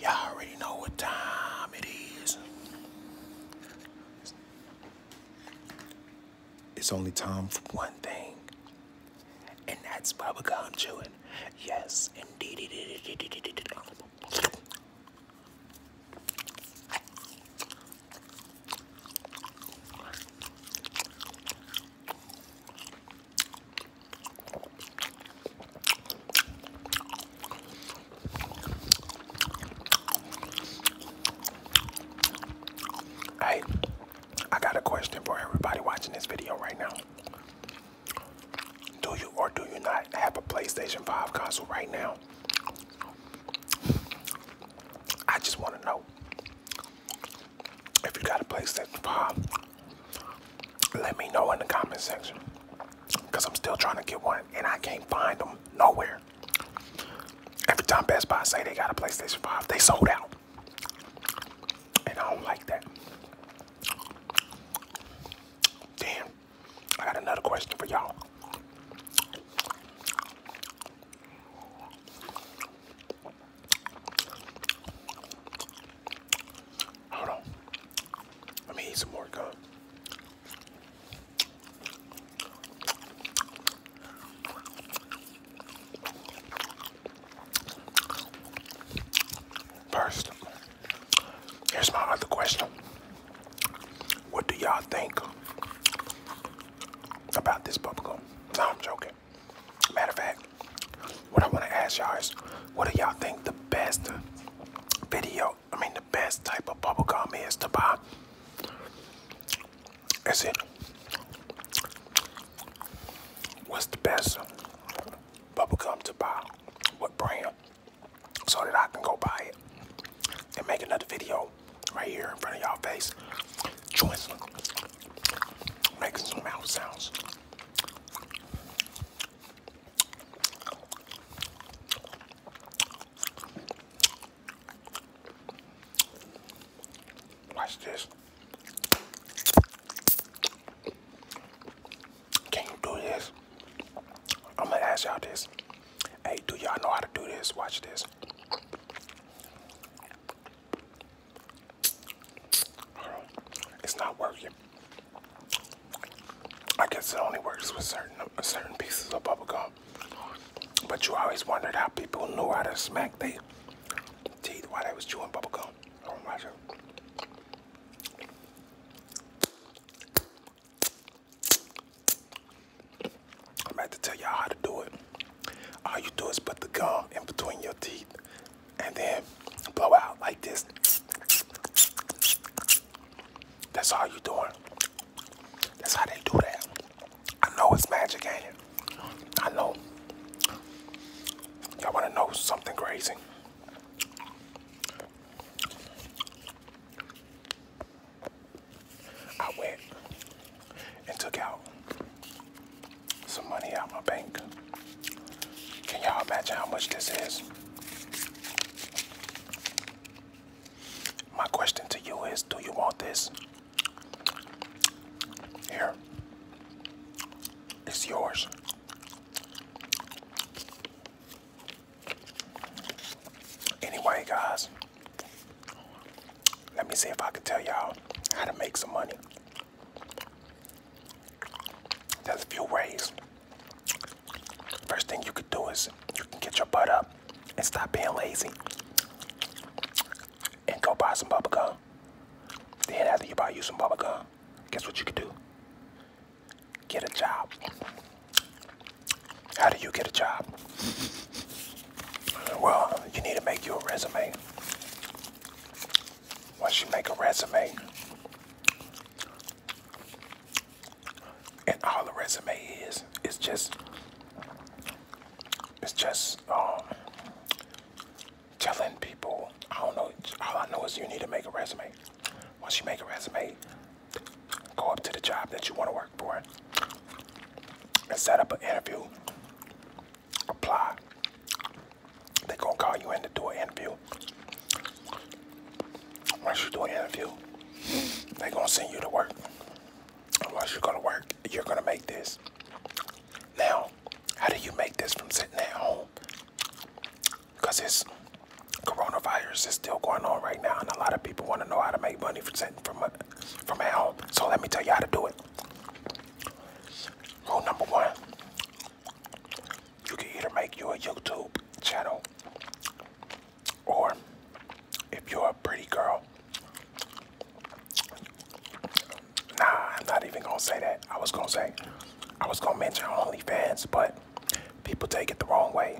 Y'all already know what time it is. It's only time for one thing, and that's why we bubblegum chewing. Yes, indeed. Hey, I got a question for everybody watching this video right now. Do you or do you not have a PlayStation 5 console right now? I just want to know. If you got a PlayStation 5, let me know in the comment section. Because I'm still trying to get one and I can't find them nowhere. Every time Best Buy say they got a PlayStation 5, they sold out. And I don't like that. Damn. I got another question for y'all. Hold on. Let me eat some more gum. First, here's my other question. What do y'all think about this bubblegum. No, I'm joking. Matter of fact, what I want to ask y'all is, what do y'all think the best video, I mean the best type of bubble gum is to buy? Is it, what's the best bubble gum to buy? What brand? So that I can go buy it and make another video right here in front of y'all face, chewing, making some mouth sounds. Watch this. Can you do this? I'm gonna ask y'all this. Hey, do y'all know how to do this? Watch this. It's not working. I guess it only works with certain uh, certain pieces of bubble gum. But you always wondered how people knew how to smack their teeth while they was chewing bubble gum. Oh, I'm about to tell y'all how to do it. All you do is put the gum in between your teeth and then blow out like this. That's all you're doing. That's how they do that. I know it's magic, ain't it? I know. Y'all want to know something crazy? I went and took out some money out my bank. Can y'all imagine how much this is? My question to you is, do you want this? Here, it's yours. Anyway, guys, let me see if I can tell y'all how to make some money. There's a few ways. First thing you could do is you can get your butt up and stop being lazy and go buy some bubble gum. Then after you buy you some bubble gum, guess what you could do? get a job? How do you get a job? Well, you need to make your resume. Once you make a resume, and all the resume is is just it's just um telling people I don't know all I know is you need to make a resume. Once you make a resume, Go up to the job that you want to work for and set up an interview. Apply. They're going to call you in to do an interview. Once you do an interview, they're going to send you to work. And once you go to work, you're going to make this. Now, how do you make this from sitting at home? because this coronavirus is still going on right now and a lot of people want to know how to make money from from from home so let me tell you how to do it rule number one you can either make your youtube channel or if you're a pretty girl nah i'm not even gonna say that i was gonna say i was gonna mention onlyfans but people take it the wrong way.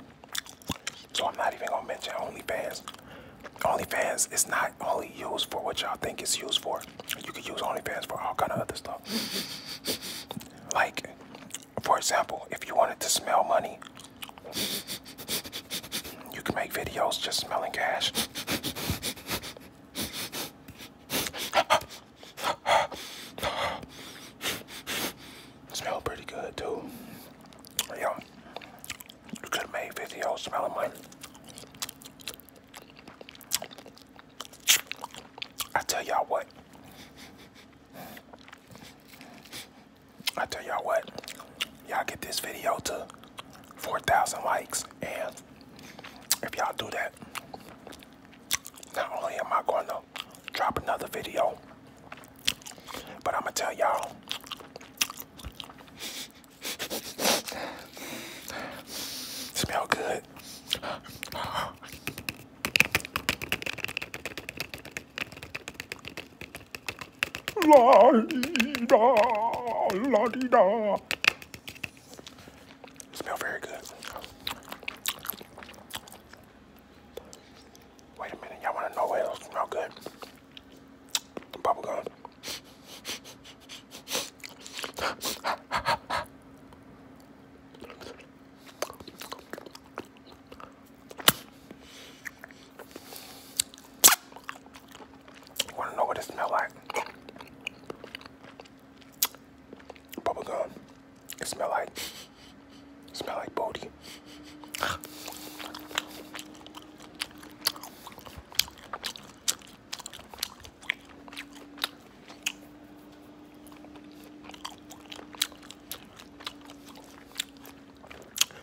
So I'm not even gonna mention OnlyFans. OnlyFans is not only used for what y'all think it's used for. You can use OnlyFans for all kind of other stuff. Like, for example, if you wanted to smell money, you can make videos just smelling cash. Smell pretty good too. Yeah. You could have made videos smelling mine. I tell y'all what. I tell y'all what. Y'all get this video to 4,000 likes and if y'all do that, not only am I going to drop another video, but I'm going to tell y'all smell good. La-dee-da, la-dee-da. Smell very good. Wait a minute, y'all wanna know what else smell good? Bubblegum. wanna know what it smell like? bubble gum. It smell like it smell like booty.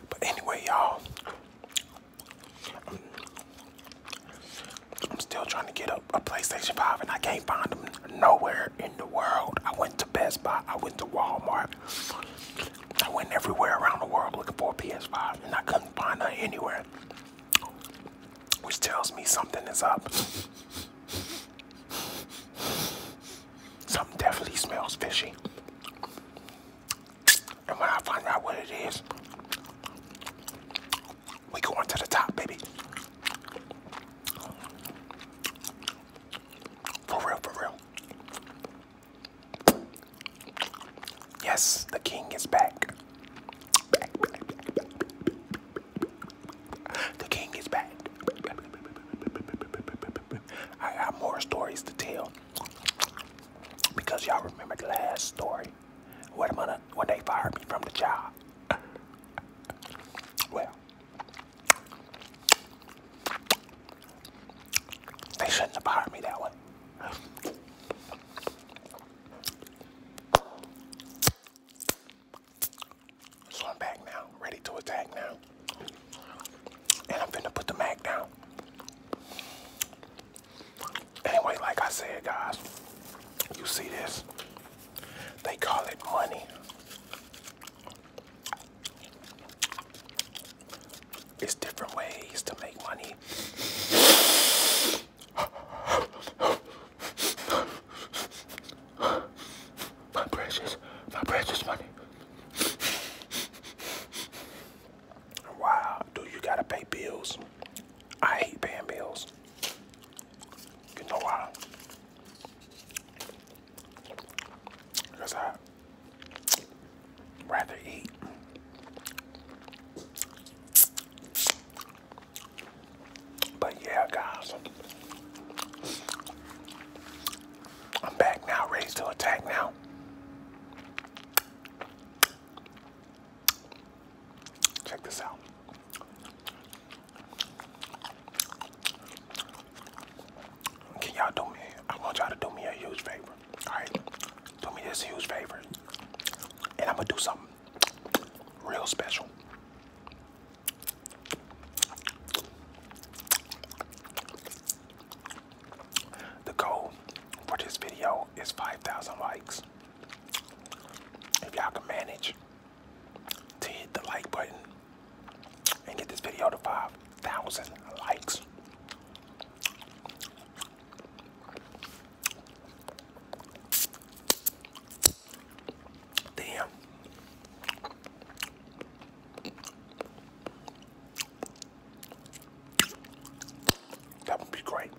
But anyway, y'all, I'm still trying to get a, PlayStation 5 and I can't find them nowhere in the world. I went to Best Buy, I went to Walmart, I went everywhere around the world looking for a PS5 and I couldn't find her anywhere. Which tells me something is up. Something definitely smells fishy. And when I find out what it is, we go on to the top, baby. For real, for real. Yes, the king is back. back. The king is back. I got more stories to tell because y'all remember the last story. Wait a minute. when they fired me from the job? well, they shouldn't have fired me that way. So I'm back now, ready to attack now. And I'm finna put the mag down. Anyway, like I said, guys, you see this? They call it money. It's different ways to make money. My precious, my precious money. Wow, do you gotta pay bills? I hate paying bills. You know why? Because I rather eat. But yeah, guys, I'm back now, ready to attack now. Check this out. Can y'all do me? I want y'all to do me a huge favor. Alright? Do me this huge favor. And I'm gonna do something real special. The goal for this video is 5,000 likes. If y'all can manage to hit the like button and get this video to 5,000 likes. Damn. That would be great.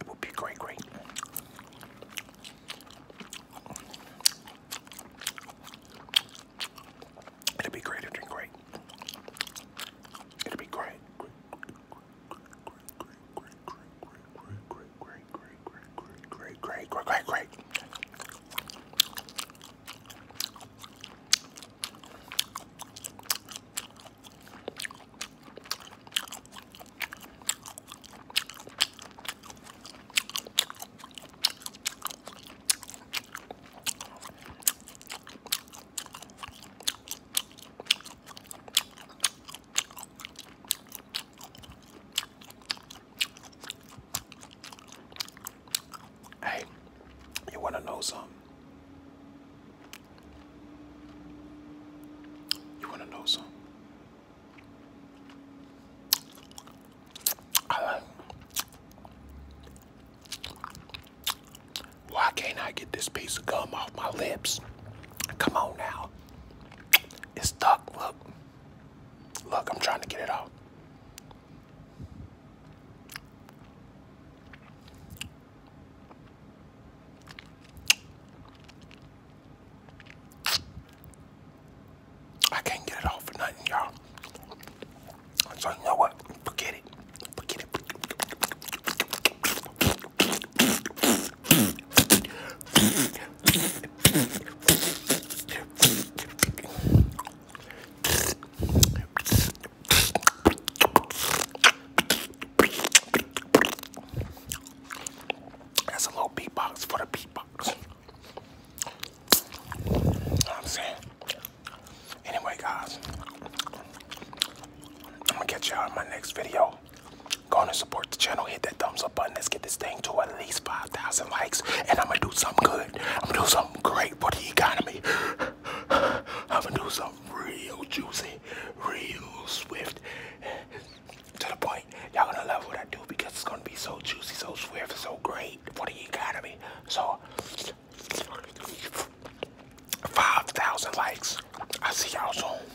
It would be great, great. It'd be great, it'd be great. It'd be great. Great, great, great, great, great, great, great, great, great, great, great, great, great, great, great, great. Hey, you want to know something? You want to know something? Uh, why can't I get this piece of gum off my lips? Come on now. It's stuck, look. Look, I'm trying to get it out. I can't get it off for nothing, y'all. So you know what? Forget it. Forget it. That's a little beatbox for the beatbox. You I'm saying? Anyway, guys, I'm gonna catch y'all in my next video. Go on and support the channel. Hit that thumbs up button. Let's get this thing to at least 5,000 likes. And I'm going to do something good. I'm going to do something great for the economy. I'm going to do something real juicy, real swift. To the point. Y'all going to love what I do because it's going to be so juicy, so swift, so great for the economy. So, 5,000 likes. i see y'all soon.